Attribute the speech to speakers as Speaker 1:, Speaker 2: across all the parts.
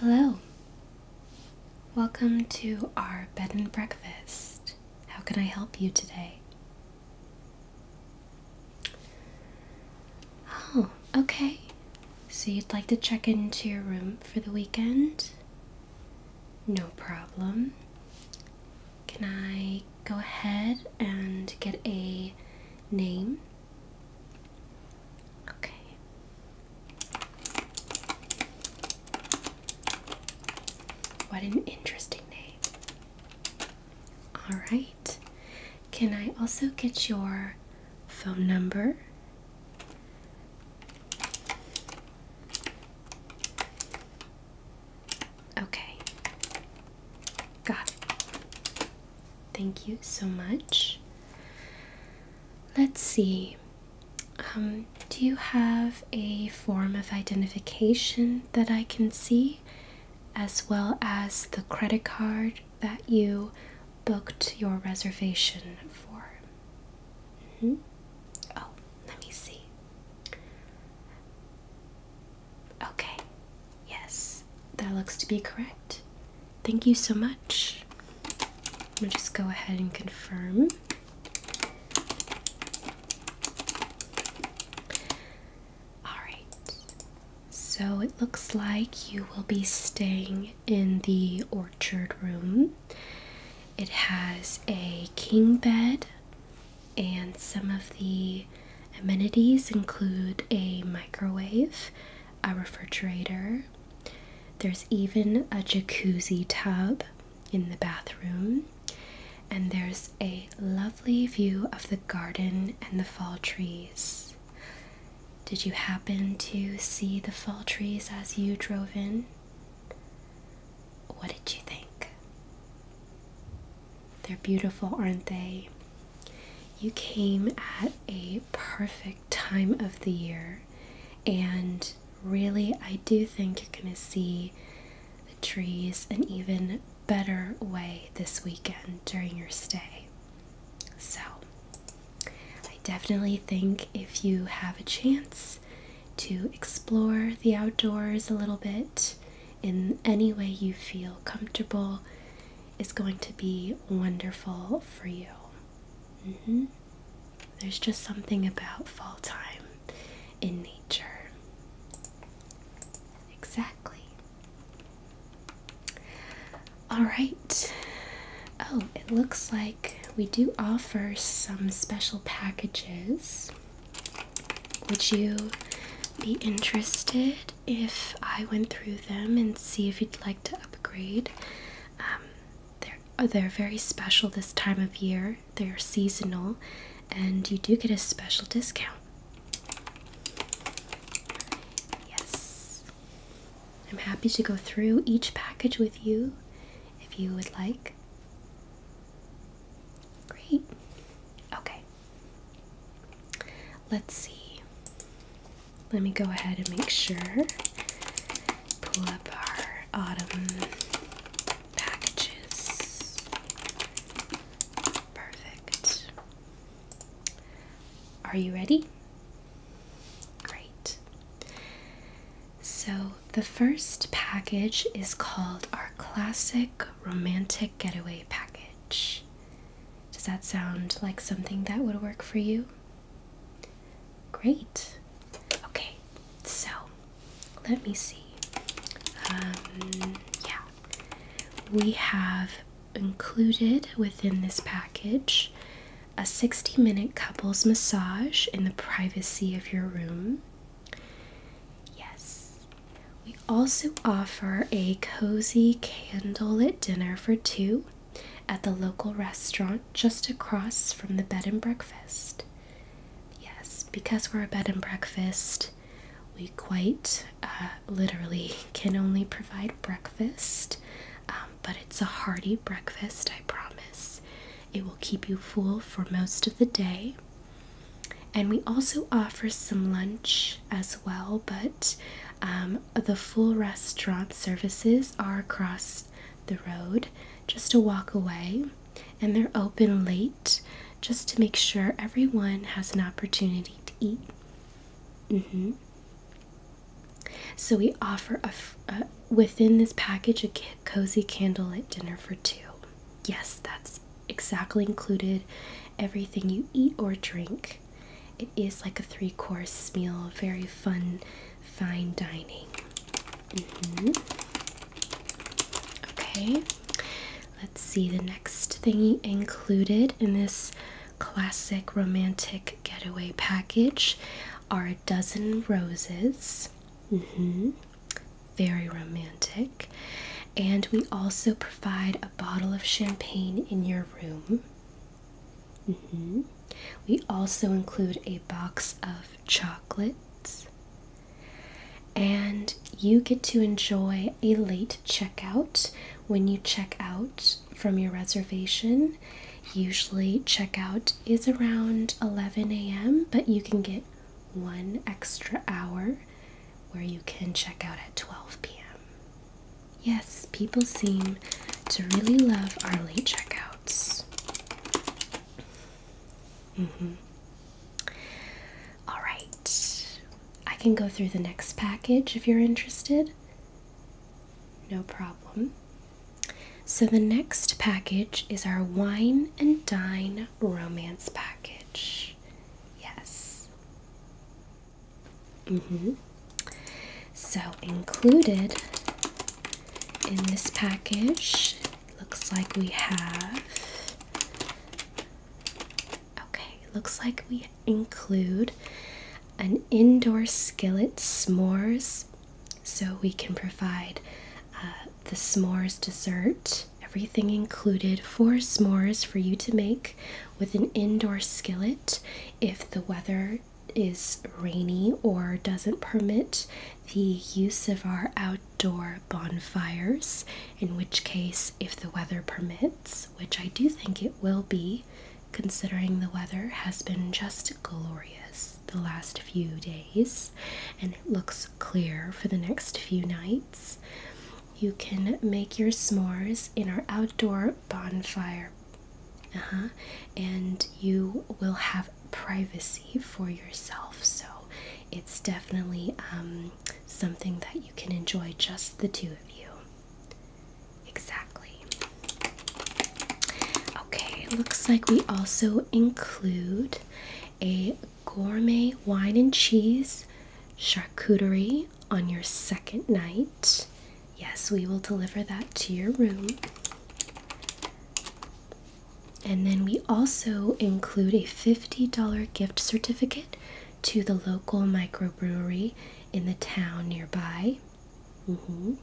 Speaker 1: Hello. Welcome to our bed and breakfast. How can I help you today? Oh, okay. So you'd like to check into your room for the weekend? No problem. Can I go ahead and get a name? Okay. What an interesting name. All right. Can I also get your phone number? Okay. Got Thank you so much. Let's see. Um, do you have a form of identification that I can see, as well as the credit card that you booked your reservation for? -hmm. Oh, let me see. Okay, yes, that looks to be correct. Thank you so much. I'm gonna just go ahead and confirm. Alright, so it looks like you will be staying in the orchard room. It has a king bed, and some of the amenities include a microwave, a refrigerator. There's even a jacuzzi tub in the bathroom, and there's a lovely view of the garden and the fall trees. Did you happen to see the fall trees as you drove in? What did you think? They're beautiful, aren't they? You came at a perfect time of the year, and really, I do think you're going to see the trees an even better way this weekend during your stay. So, I definitely think if you have a chance, to explore the outdoors a little bit in any way you feel comfortable is going to be wonderful for you. Mm-hmm. There's just something about fall time in nature. Exactly. All right. Oh, it looks like we do offer some special packages would you be interested if I went through them and see if you'd like to upgrade? Um, they're, oh, they're very special this time of year, they're seasonal, and you do get a special discount. Yes. I'm happy to go through each package with you if you would like. Great. Okay. Let's see. Let me go ahead and make sure. Pull up our autumn packages. Perfect. Are you ready? Great. So, the first package is called our classic romantic getaway package. Does that sound like something that would work for you? Great. Okay, so let me see. Um, yeah, we have included within this package a 60 minute couples massage in the privacy of your room. Yes. We also offer a cozy candlelit dinner for two at the local restaurant just across from the bed and breakfast. Yes, because we're a bed and breakfast, we quite uh, literally can only provide breakfast, um, but it's a hearty breakfast, I promise. It will keep you full for most of the day. And we also offer some lunch as well, but um, the full restaurant services are across the road, just a walk away, and they're open late just to make sure everyone has an opportunity to eat. Mm-hmm. So we offer within this package a cozy candlelit dinner for two. Yes, that's exactly included. Everything you eat or drink. It is like a three course meal, very fun, fine dining. Mm-hmm. Okay, let's see the next thing included in this classic romantic getaway package are a dozen roses. Mm-hmm very romantic. And we also provide a bottle of champagne in your room. Mm-hmm. We also include a box of chocolates. And you get to enjoy a late checkout when you check out from your reservation. Usually, checkout is around 11 a.m., but you can get one extra hour where you can check out at 12 p.m. Yes, people seem to really love our late checkouts. Mm hmm. All right, I can go through the next package if you're interested. No problem. So, the next package is our Wine and Dine Romance Package package. Yes. hmm So included in this package, looks like we have. Okay, looks like we include an indoor skillet s'mores, so we can provide uh, the s'mores dessert everything included four s'mores for you to make with an indoor skillet if the weather is rainy or doesn't permit the use of our outdoor bonfires, in which case, if the weather permits, which I do think it will be, considering the weather has been just glorious the last few days and it looks clear for the next few nights. You can make your s'mores in our outdoor bonfire. Uh-huh, and you will have privacy for yourself. So it's definitely um, something that you can enjoy just the two of you. Exactly. Okay, looks like we also include a gourmet wine and cheese charcuterie on your second night. Yes, we will deliver that to your room. And then we also include a $50 gift certificate to the local microbrewery in the town nearby. Mm-hmm.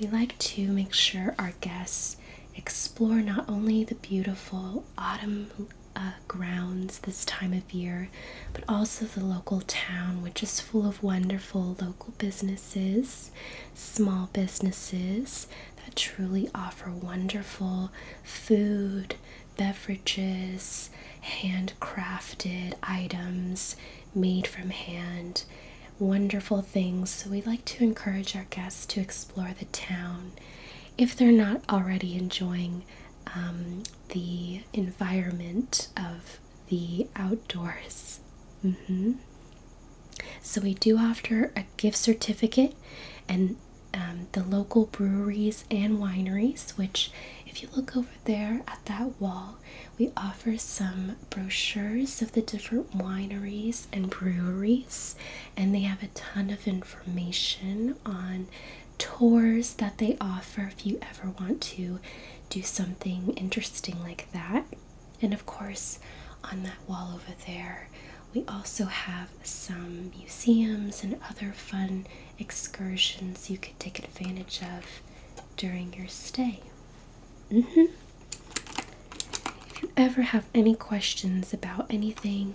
Speaker 1: We like to make sure our guests explore not only the beautiful autumn uh, grounds this time of year, but also the local town, which is full of wonderful local businesses, small businesses that truly offer wonderful food, beverages, handcrafted items made from hand. Wonderful things. So, we like to encourage our guests to explore the town if they're not already enjoying um, the environment of the outdoors. Mm-hmm. So, we do offer a gift certificate and um, the local breweries and wineries, which, if you look over there at that wall, we offer some brochures of the different wineries and breweries and they have a ton of information on tours that they offer if you ever want to do something interesting like that. And of course, on that wall over there, we also have some museums and other fun excursions you could take advantage of during your stay. Mm-hmm. If you ever have any questions about anything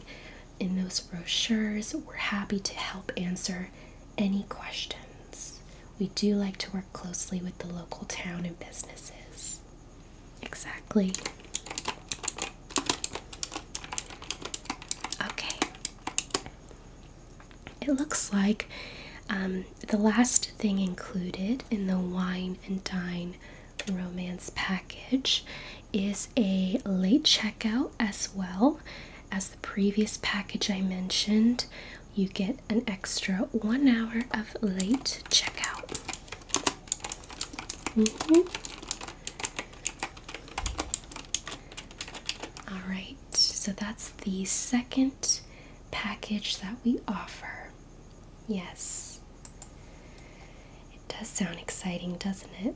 Speaker 1: in those brochures. We're happy to help answer any questions. We do like to work closely with the local town and businesses. Exactly. Okay. It looks like um, the last thing included in the wine and dine romance package is a late checkout as well as the previous package I mentioned. You get an extra one hour of late checkout. Mm-hmm. All right, so that's the second package that we offer. Yes does sound exciting, doesn't it?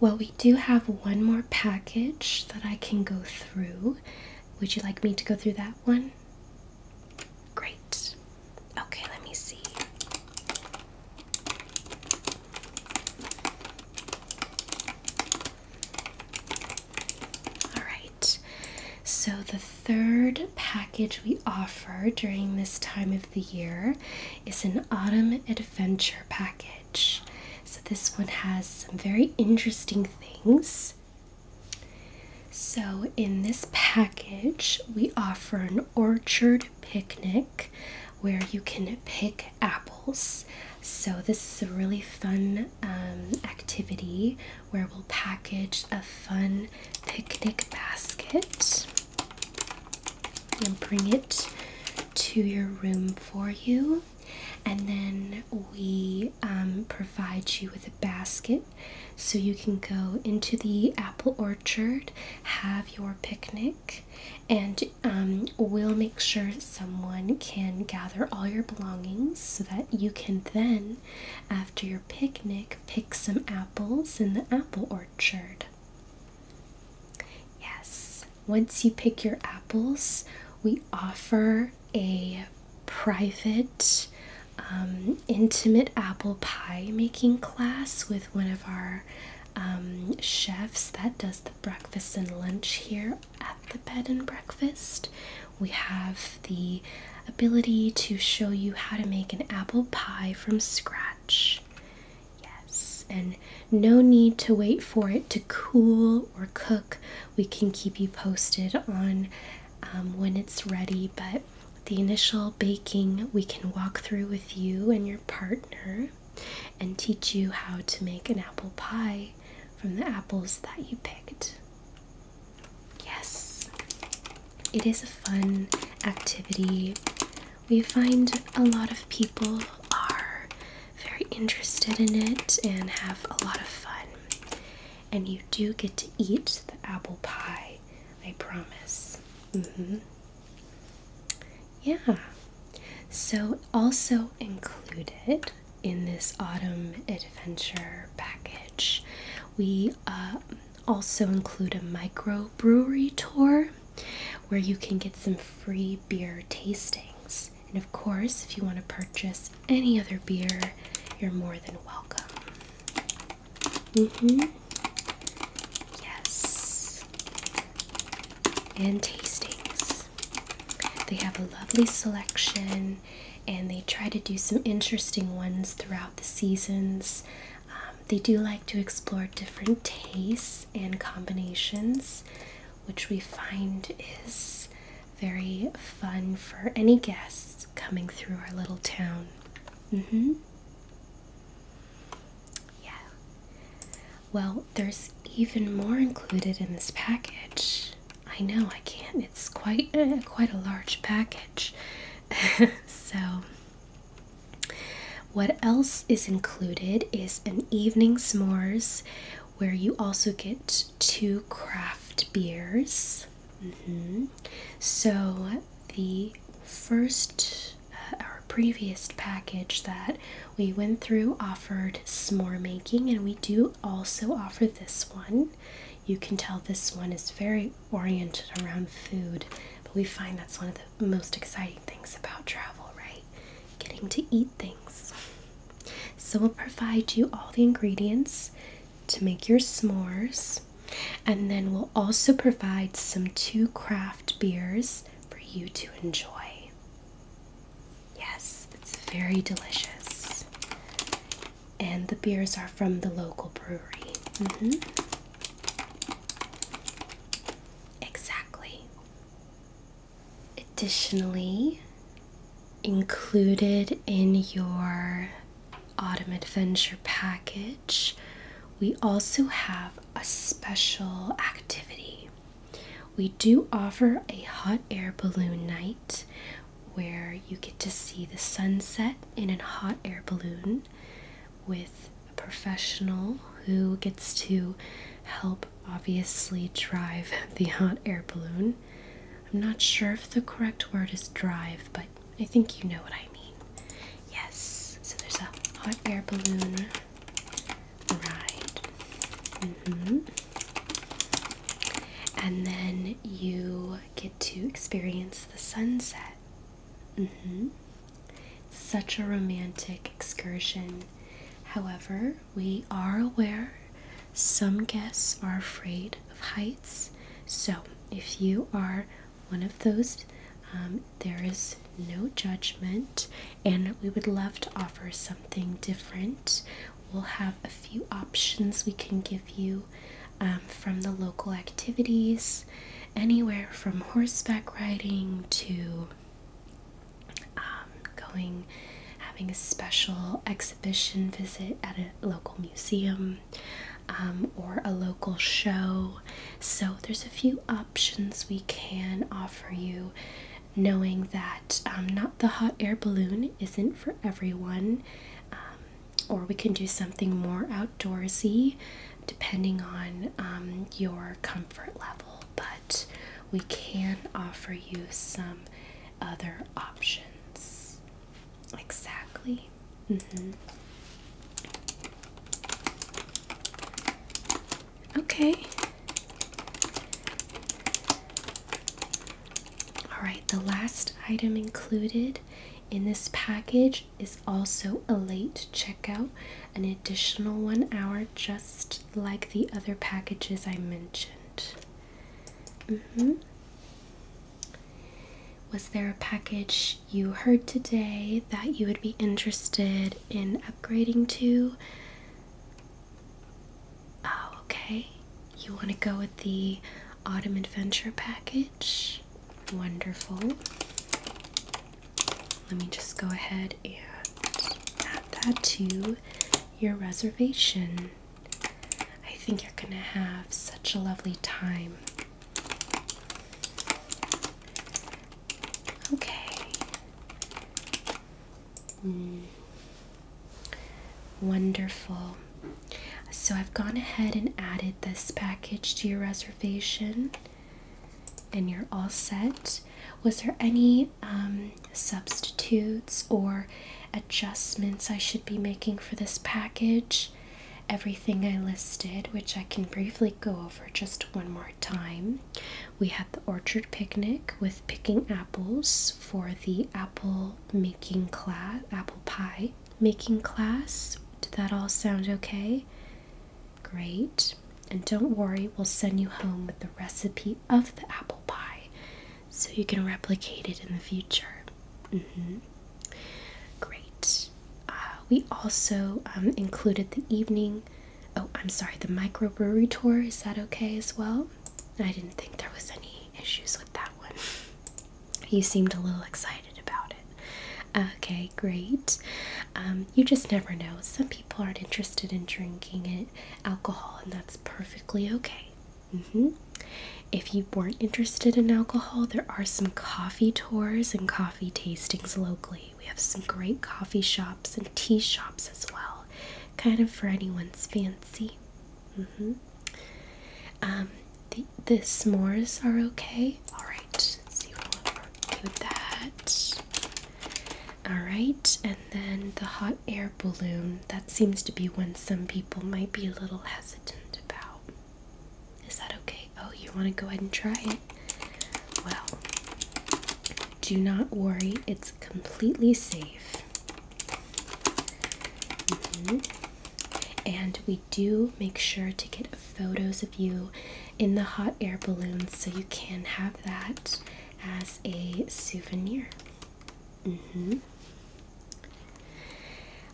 Speaker 1: Well, we do have one more package that I can go through. Would you like me to go through that one? Great. Okay, let me see. All right. So the third package we offer during this time of the year is an autumn adventure package. So, this one has some very interesting things. So, in this package, we offer an orchard picnic where you can pick apples. So, this is a really fun um, activity where we'll package a fun picnic basket and bring it to your room for you. And then we um, provide you with a basket so you can go into the apple orchard, have your picnic, and um, we'll make sure someone can gather all your belongings so that you can then, after your picnic, pick some apples in the apple orchard. Yes, once you pick your apples, we offer a private, um, intimate apple pie making class with one of our um, chefs that does the breakfast and lunch here at the bed and breakfast. We have the ability to show you how to make an apple pie from scratch. Yes, and no need to wait for it to cool or cook. We can keep you posted on um, when it's ready, but the initial baking we can walk through with you and your partner and teach you how to make an apple pie from the apples that you picked. Yes it is a fun activity. We find a lot of people are very interested in it and have a lot of fun. And you do get to eat the apple pie, I promise. Mm-hmm. Yeah. So, also included in this autumn adventure package, we uh, also include a microbrewery tour where you can get some free beer tastings. And of course, if you want to purchase any other beer, you're more than welcome. Mm hmm Yes. And tastings. They have a lovely selection and they try to do some interesting ones throughout the seasons. Um, they do like to explore different tastes and combinations, which we find is very fun for any guests coming through our little town. Mm-hmm. Yeah. Well, there's even more included in this package. I know I can't. It's quite eh, quite a large package. so what else is included is an evening s'mores where you also get two craft beers. Mm-hmm. So, the first, uh, our previous package that we went through offered s'more making, and we do also offer this one. You can tell this one is very oriented around food, but we find that's one of the most exciting things about travel, right? Getting to eat things. So we'll provide you all the ingredients to make your s'mores, and then we'll also provide some two craft beers for you to enjoy. Yes, it's very delicious. And the beers are from the local brewery. Mm-hmm. Exactly. Additionally, included in your Autumn Adventure package, we also have a special activity. We do offer a hot air balloon night where you get to see the sunset in a hot air balloon with a professional who gets to help obviously drive the hot air balloon. I'm not sure if the correct word is drive, but I think you know what I mean. Yes, so there's a hot air balloon ride. Mm-hmm. And then you get to experience the sunset Mm -hmm. Such a romantic excursion. However, we are aware some guests are afraid of heights. So, if you are one of those, um, there is no judgment, and we would love to offer something different. We'll have a few options we can give you um, from the local activities anywhere from horseback riding to um, going, having a special exhibition visit at a local museum um, or a local show. So there's a few options we can offer you. Knowing that um, not the hot air balloon isn't for everyone, or we can do something more outdoorsy depending on um, your comfort level, but we can offer you some other options. Exactly. Mm-hmm. Okay. All right, the last item included in this package is also a late checkout, an additional one hour, just like the other packages I mentioned. Mm-hmm. Was there a package you heard today that you would be interested in upgrading to? Oh, okay. You want to go with the Autumn Adventure package? Wonderful let me just go ahead and add that to your reservation. I think you're going to have such a lovely time. Okay. Hmm. Wonderful. So I've gone ahead and added this package to your reservation and you're all set. Was there any um, substitutes or adjustments I should be making for this package? Everything I listed, which I can briefly go over just one more time. We had the orchard picnic with picking apples for the apple making class, apple pie making class. Did that all sound okay? Great. And don't worry, we'll send you home with the recipe of the apple pie so you can replicate it in the future. Mm-hmm. Great. Uh, we also um, included the evening. Oh, I'm sorry, the microbrewery tour. Is that okay as well? I didn't think there was any issues with that one. you seemed a little excited about it. Okay, great. Um, you just never know. Some people aren't interested in drinking it, alcohol, and that's perfectly okay. Mm-hmm. If you weren't interested in alcohol, there are some coffee tours and coffee tastings locally. We have some great coffee shops and tea shops as well, kind of for anyone's fancy. Mm-hmm. Um, the s'mores are okay alright. see what I want do with that. Alright, and then the hot air balloon. That seems to be one some people might be a little hesitant about. Is that okay? Oh, you want to go ahead and try it? Well, do not worry, it's completely safe. Mm-hmm. And we do make sure to get photos of you in the hot air balloons, so you can have that as a souvenir. Mm-hmm.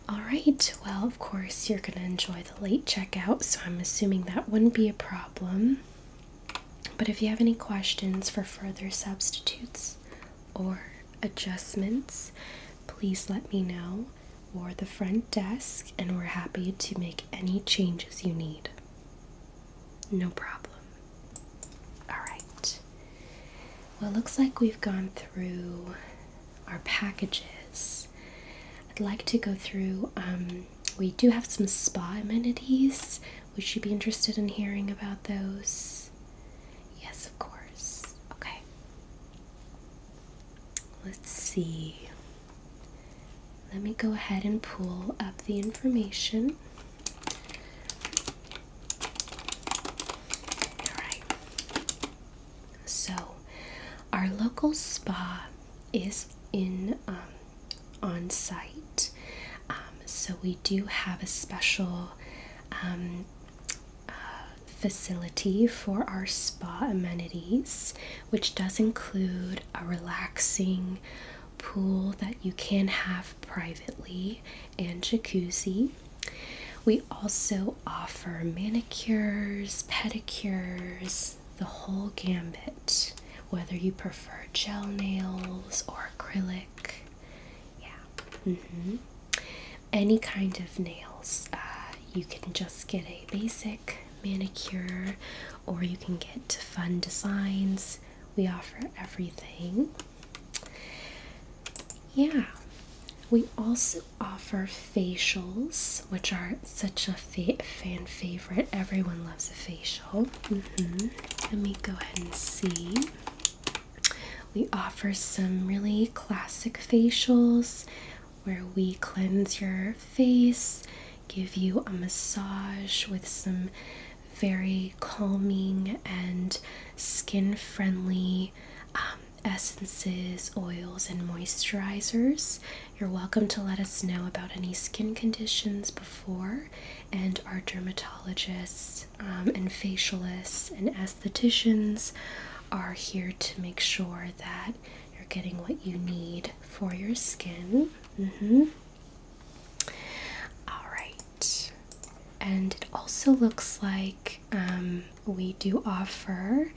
Speaker 1: All right, well, of course, you're going to enjoy the late checkout, so I'm assuming that wouldn't be a problem. But if you have any questions for further substitutes or adjustments, please let me know or the front desk, and we're happy to make any changes you need. No problem. Alright. Well, looks like we've gone through our packages. I'd like to go through, um, we do have some spa amenities. We should be interested in hearing about those? Yes, of course. Okay let's see. Let me go ahead and pull up the information. All right. So, our local spa is in um, on site. Um, so we do have a special um, uh, facility for our spa amenities which does include a relaxing pool that you can have privately and jacuzzi. We also offer manicures, pedicures, the whole gambit, whether you prefer gel nails or acrylic. Yeah. Mm-hmm. Any kind of nails. Uh, you can just get a basic manicure or you can get fun designs. We offer everything. Yeah, we also offer facials, which are such a fan favorite. Everyone loves a facial. Mm-hmm. Let me go ahead and see. We offer some really classic facials where we cleanse your face, give you a massage with some very calming and skin friendly um, essences, oils, and moisturizers. You're welcome to let us know about any skin conditions before, and our dermatologists um, and facialists and estheticians are here to make sure that you're getting what you need for your skin. Mm-hmm. Alright. And it also looks like um, we do offer,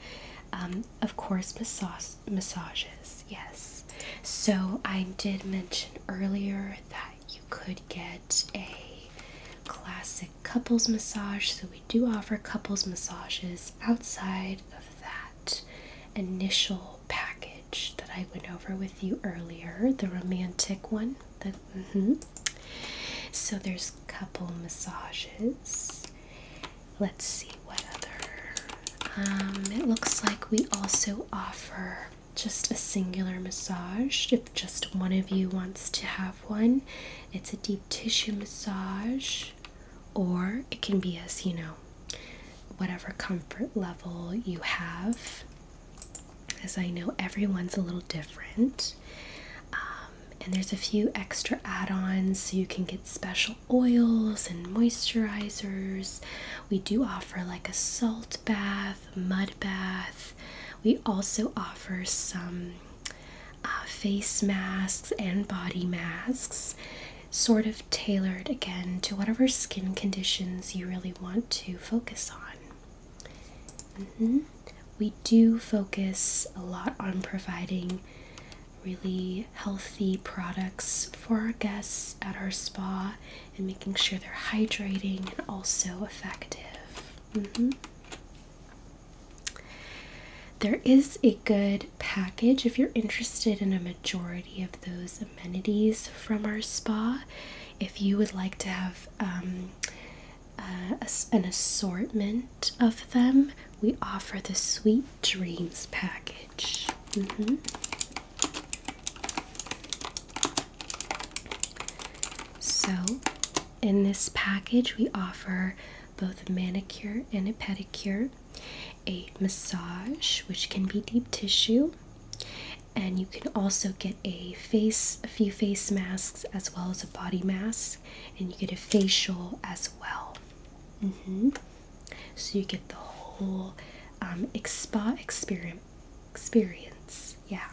Speaker 1: um, of course, massage massages. Yes. So I did mention earlier that you could get a classic couples massage. So we do offer couples massages outside of that initial package that I went over with you earlier, the romantic one. The, mm -hmm. So there's a couple massages. Let's see what other. Um, it looks like we also offer just a singular massage if just one of you wants to have one. It's a deep tissue massage or it can be as you know whatever comfort level you have as i know everyone's a little different um, and there's a few extra add-ons so you can get special oils and moisturizers we do offer like a salt bath mud bath we also offer some uh, face masks and body masks sort of tailored again to whatever skin conditions you really want to focus on. Mm-hmm. We do focus a lot on providing really healthy products for our guests at our spa and making sure they're hydrating and also effective. Mm-hmm. There is a good package if you're interested in a majority of those amenities from our spa. If you would like to have um, uh, an assortment of them, we offer the Sweet Dreams package. Mm-hmm. So, in this package, we offer both a manicure and a pedicure a massage, which can be deep tissue, and you can also get a face, a few face masks, as well as a body mask, and you get a facial as well. Mm-hmm. So you get the whole spa um, Experience, yeah.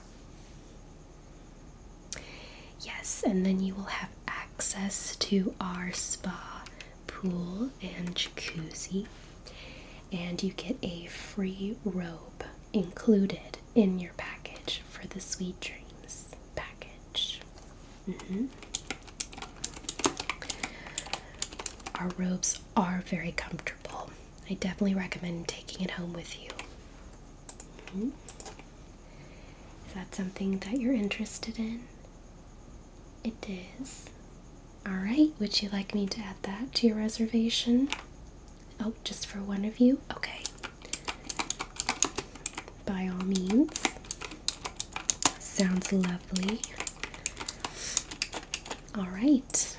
Speaker 1: Yes, and then you will have access to our spa pool and jacuzzi, and you get a free robe included in your package for the Sweet Dreams package. Mm-hmm. Our robes are very comfortable. I definitely recommend taking it home with you. Mm-hmm. Is that something that you're interested in? It is. Alright, would you like me to add that to your reservation? Oh, just for one of you? Okay. By all means. Sounds lovely. Alright.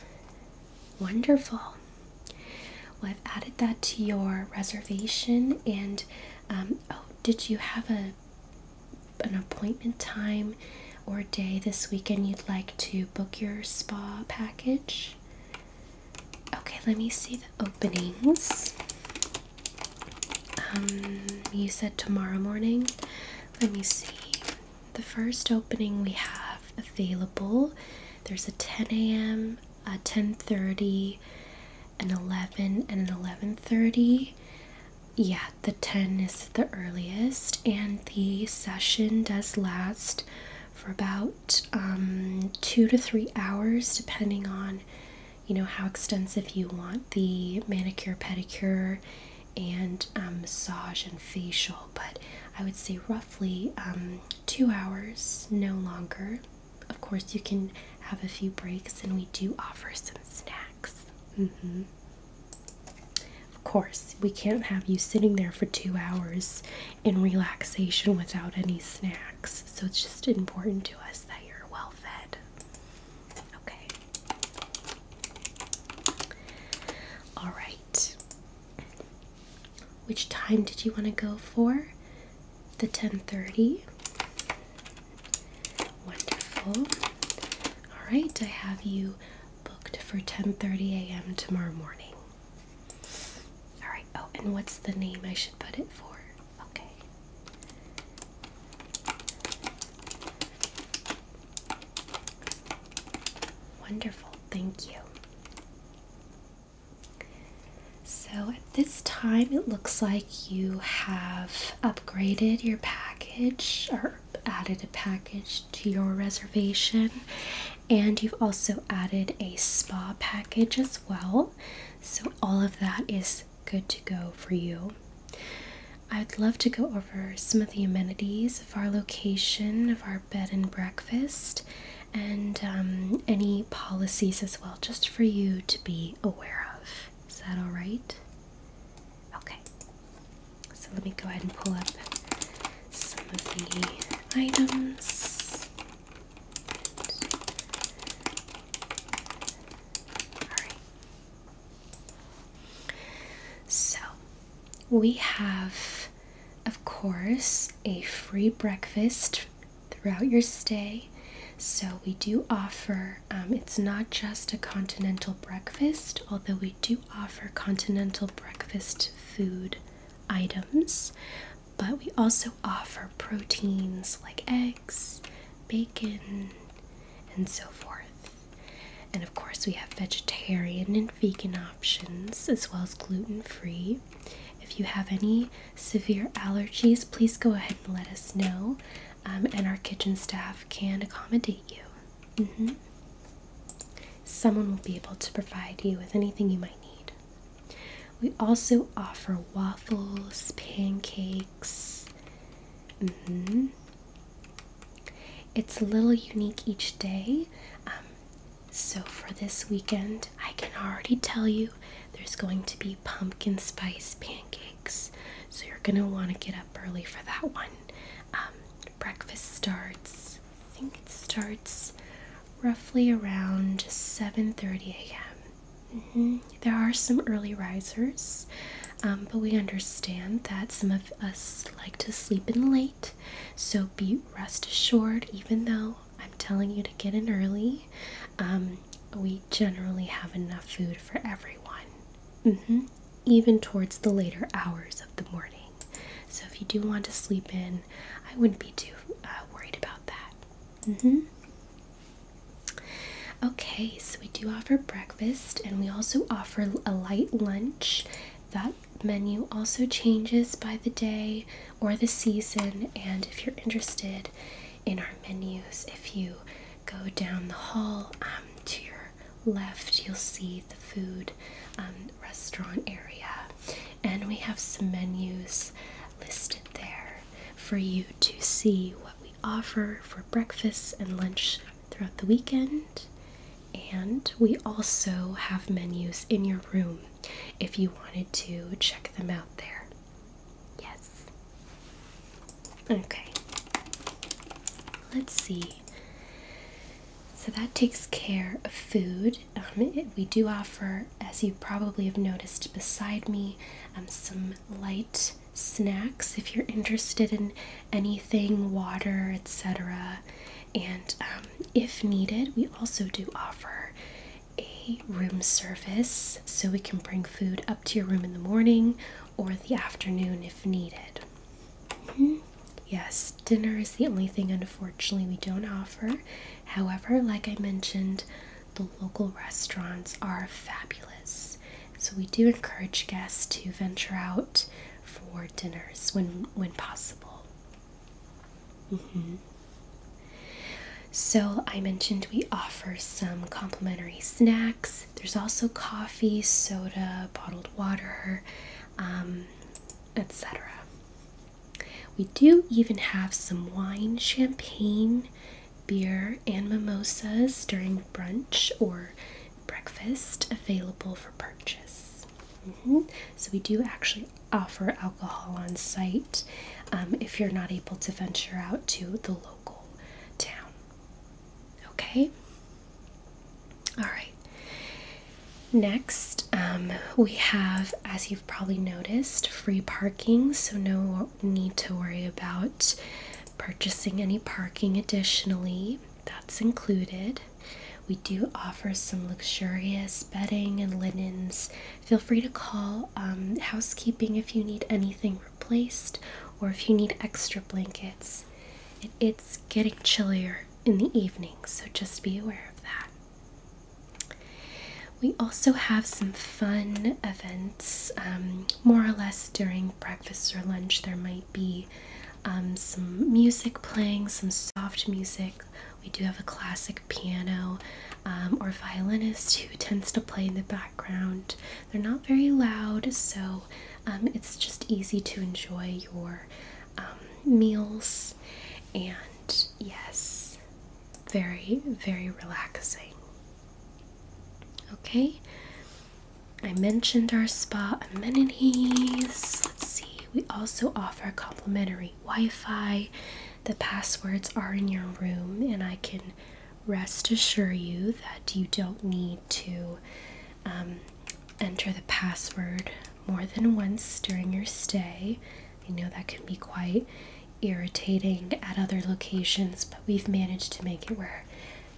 Speaker 1: Wonderful. Well, I've added that to your reservation and, um, oh, did you have a an appointment time or day this weekend you'd like to book your spa package. Okay, let me see the openings. Um, you said tomorrow morning. Let me see. The first opening we have available. There's a 10 a.m., a 10:30, an 11, and an 11:30 yeah, the 10 is the earliest, and the session does last for about um, two to three hours, depending on you know how extensive you want the manicure, pedicure, and um, massage and facial. But I would say roughly um, two hours, no longer. Of course, you can have a few breaks, and we do offer some snacks. Mm -hmm. Of course, we can't have you sitting there for two hours in relaxation without any snacks, so it's just important to us that you're well fed. Okay. All right. Which time did you want to go for? The 10:30. Wonderful. All right, I have you booked for 10:30 a.m. tomorrow morning. All right. Oh, and what's the name I should put it for? Okay. Wonderful. Thank you. So at this time, it looks like you have upgraded your package or added a package to your reservation, and you've also added a spa package as well. So, all of that is good to go for you. I'd love to go over some of the amenities of our location, of our bed and breakfast, and um, any policies as well, just for you to be aware of. Is that all right? Okay. So let me go ahead and pull up some of the items. So we have, of course, a free breakfast throughout your stay. So we do offer, um, it's not just a continental breakfast, although we do offer continental breakfast food items, but we also offer proteins like eggs, bacon, and so forth. And of course, we have vegetarian and vegan options as well as gluten free. If you have any severe allergies, please go ahead and let us know, um, and our kitchen staff can accommodate you. Mm -hmm. Someone will be able to provide you with anything you might need. We also offer waffles, pancakes. Mm -hmm. It's a little unique each day. Um, so, for this weekend, I can already tell you there's going to be pumpkin spice pancakes. So, you're going to want to get up early for that one. Um, breakfast starts, I think it starts roughly around 7:30 a.m. Mm-hmm. There are some early risers, um, but we understand that some of us like to sleep in late. So be rest assured, even though I'm telling you to get in early, um, we generally have enough food for everyone. Mm-hmm even towards the later hours of the morning. So if you do want to sleep in, I wouldn't be too uh, worried about that. Mm-hmm. Okay, so we do offer breakfast and we also offer a light lunch. That menu also changes by the day or the season. And if you're interested in our menus, if you go down the hall um, to your left, you'll see the food um, restaurant area, and we have some menus listed there for you to see what we offer for breakfast and lunch throughout the weekend. And we also have menus in your room if you wanted to check them out there. Yes. Okay let's see. So that takes care of food. Um, we do offer, as you probably have noticed beside me, um, some light snacks if you're interested in anything, water, etc. And um, if needed, we also do offer a room service so we can bring food up to your room in the morning or the afternoon if needed. Hmm yes, dinner is the only thing unfortunately we don't offer. However, like I mentioned, the local restaurants are fabulous. So we do encourage guests to venture out for dinners when when possible. Mm-hmm. So I mentioned we offer some complimentary snacks. There's also coffee, soda, bottled water, um, etc. We do even have some wine, champagne, beer, and mimosas during brunch or breakfast available for purchase. Mm-hmm. So, we do actually offer alcohol on site um, if you're not able to venture out to the local town. Okay, all right. Next, um, we have, as you've probably noticed, free parking, so no need to worry about purchasing any parking additionally. That's included. We do offer some luxurious bedding and linens. Feel free to call um, housekeeping if you need anything replaced or if you need extra blankets. it's getting chillier in the evening, so just be aware of that. We also have some fun events, um, more or less during breakfast or lunch. There might be um, some music playing, some soft music. We do have a classic piano um, or violinist who tends to play in the background. They're not very loud, so it's just easy to enjoy your um, meals, and yes, very, very relaxing. Okay, I mentioned our spa amenities. Let's see, we also offer complimentary Wi Fi. The passwords are in your room, and I can rest assure you that you don't need to um, enter the password more than once during your stay. I know that can be quite irritating at other locations, but we've managed to make it where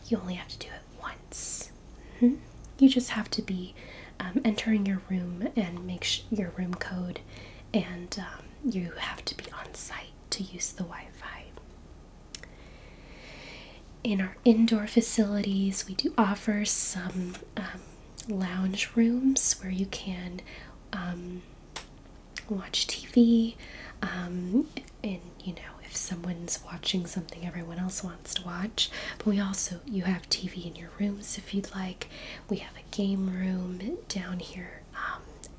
Speaker 1: you only have to do it once. Mm-hmm. You just have to be um, entering your room and make your room code, and um, you have to be on site to use the Wi Fi. In our indoor facilities, we do offer some um, lounge rooms where you can um, watch TV. Um, and you know, if someone's watching something everyone else wants to watch, but we also you have TV in your rooms if you'd like. We have a game room down here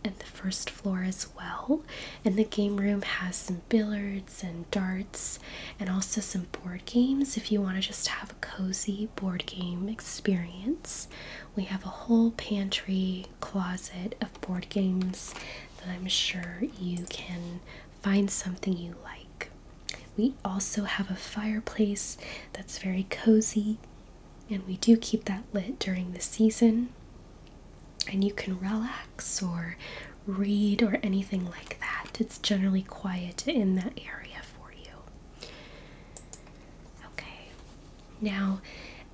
Speaker 1: at the first floor as well, and the game room has some billiards and darts, and also some board games if you want to just have a cozy board game experience. We have a whole pantry closet of board games that I'm sure you can find something you like. We also have a fireplace that's very cozy, and we do keep that lit during the season. And you can relax or read or anything like that. It's generally quiet in that area for you. Okay, now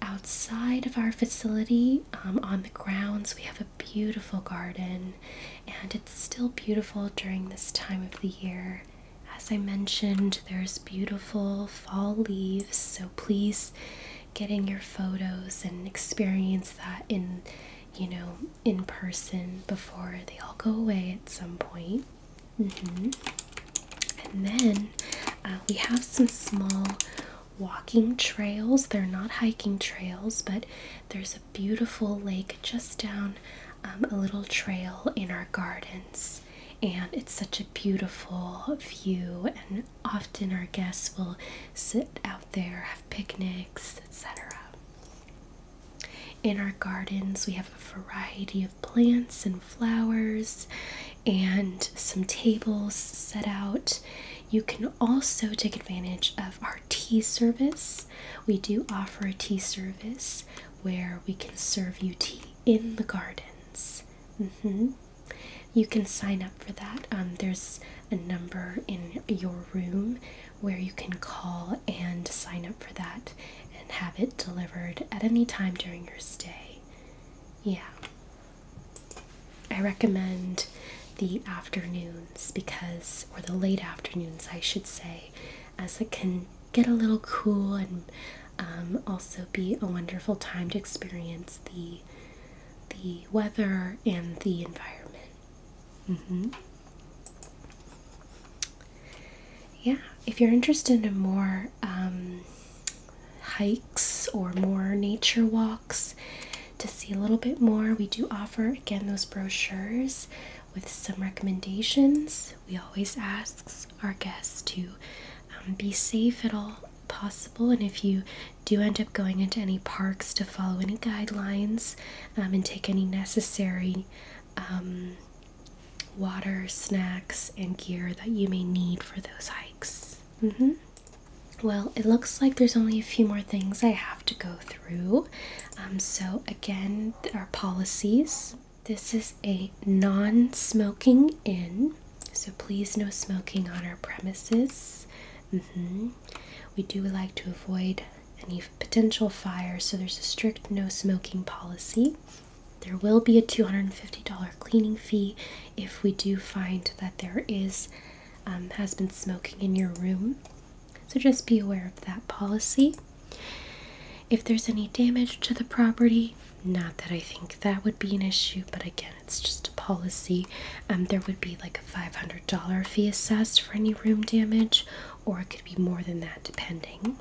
Speaker 1: outside of our facility um, on the grounds, we have a beautiful garden and it's still beautiful during this time of the year. As I mentioned, there's beautiful fall leaves, so please get in your photos and experience that in you know, in person before they all go away at some mm-hmm. And then uh, we have some small walking trails. They're not hiking trails, but there's a beautiful lake just down um, a little trail in our gardens. And it's such a beautiful view, and often our guests will sit out there, have picnics, etc. In our gardens, we have a variety of plants and flowers and some tables set out. You can also take advantage of our tea service. We do offer a tea service where we can serve you tea in the gardens. Mm-hmm. You can sign up for that. Um, there's a number in your room where you can call and sign up for that and have it delivered at any time during your stay. Yeah. I recommend the afternoons because, or the late afternoons, I should say, as it can get a little cool and um, also be a wonderful time to experience the the weather and the environment. Mm-hmm. Yeah, if you're interested in more um, hikes or more nature walks to see a little bit more, we do offer again those brochures with some recommendations. We always ask our guests to um, be safe at all possible, and if you do end up going into any parks to follow any guidelines, um, and take any necessary um, water, snacks, and gear that you may need for those hikes. Mm-hmm. Well, it looks like there's only a few more things I have to go through. Um, so, again, our policies. This is a non smoking inn, so please no smoking on our premises. Mm-hmm. We do like to avoid any potential fire, so there's a strict no smoking policy. There will be a $250 cleaning fee if we do find that there is um, has been smoking in your room. So just be aware of that policy. If there's any damage to the property, not that I think that would be an issue, but again, it's just a policy. Um, there would be like a $500 fee assessed for any room damage or it could be more than that depending.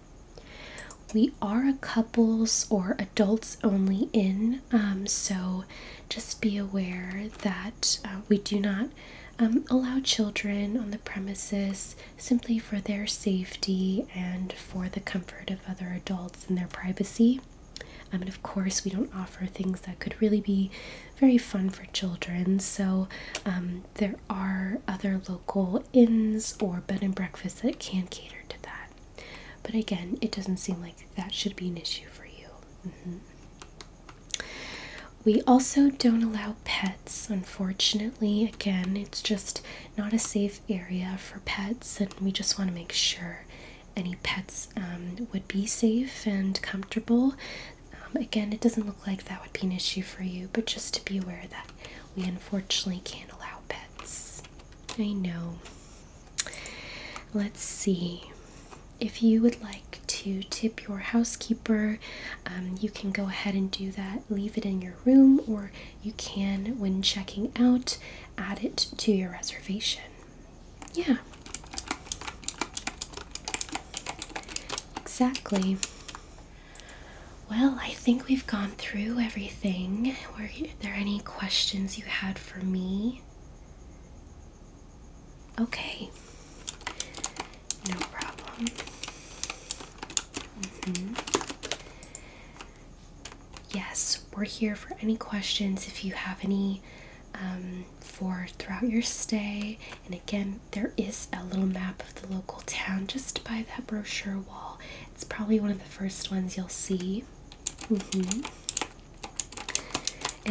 Speaker 1: We are a couples or adults only in, um, so just be aware that uh, we do not um, allow children on the premises simply for their safety and for the comfort of other adults and their privacy. Um, and of course, we don't offer things that could really be very fun for children. So um, there are other local inns or bed and breakfasts that can cater to that. But again, it doesn't seem like that should be an issue for you. Mm-hmm. We also don't allow pets, unfortunately. Again, it's just not a safe area for pets, and we just want to make sure any pets um, would be safe and comfortable. Um, again, it doesn't look like that would be an issue for you, but just to be aware that we unfortunately can't allow pets. I know. Let's see. If you would like to tip your housekeeper, um, you can go ahead and do that. Leave it in your room, or you can, when checking out, add it to your reservation. Yeah. Exactly. Well, I think we've gone through everything. Were there any questions you had for me? Okay. No problem. Mm-hmm. Yes, we're here for any questions if you have any um, for throughout your stay. And again, there is a little map of the local town just by that brochure wall. It's probably one of the first ones you'll see. Mm-hmm.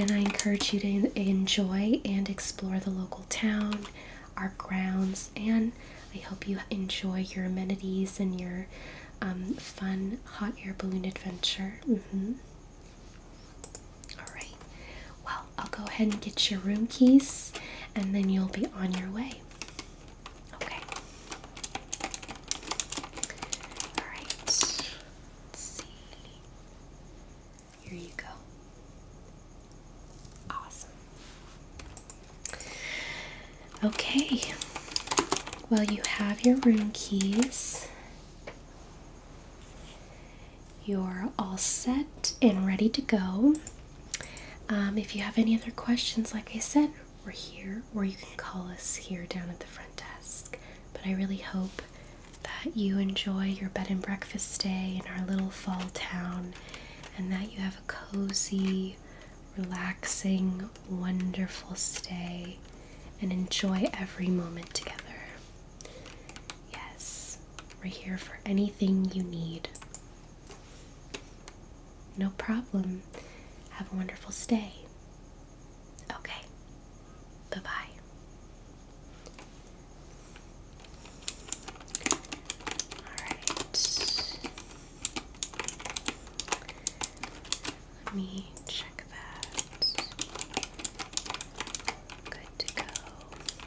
Speaker 1: And I encourage you to enjoy and explore the local town, our grounds, and I hope you enjoy your amenities and your um, fun hot air balloon adventure. Mm-hmm. All right. Well, I'll go ahead and get your room keys and then you'll be on your way. Okay. All Here you go. Awesome. Okay. Well, you have your room keys. You're all set and ready to go. Um, if you have any other questions, like I said, we're here, or you can call us here down at the front desk. But I really hope that you enjoy your bed and breakfast stay in our little fall town and that you have a cozy, relaxing, wonderful stay and enjoy every moment together. Yes, we're here for anything you need. No problem. Have a wonderful stay. Okay, bye bye. Alright. Let me check that. Good to go.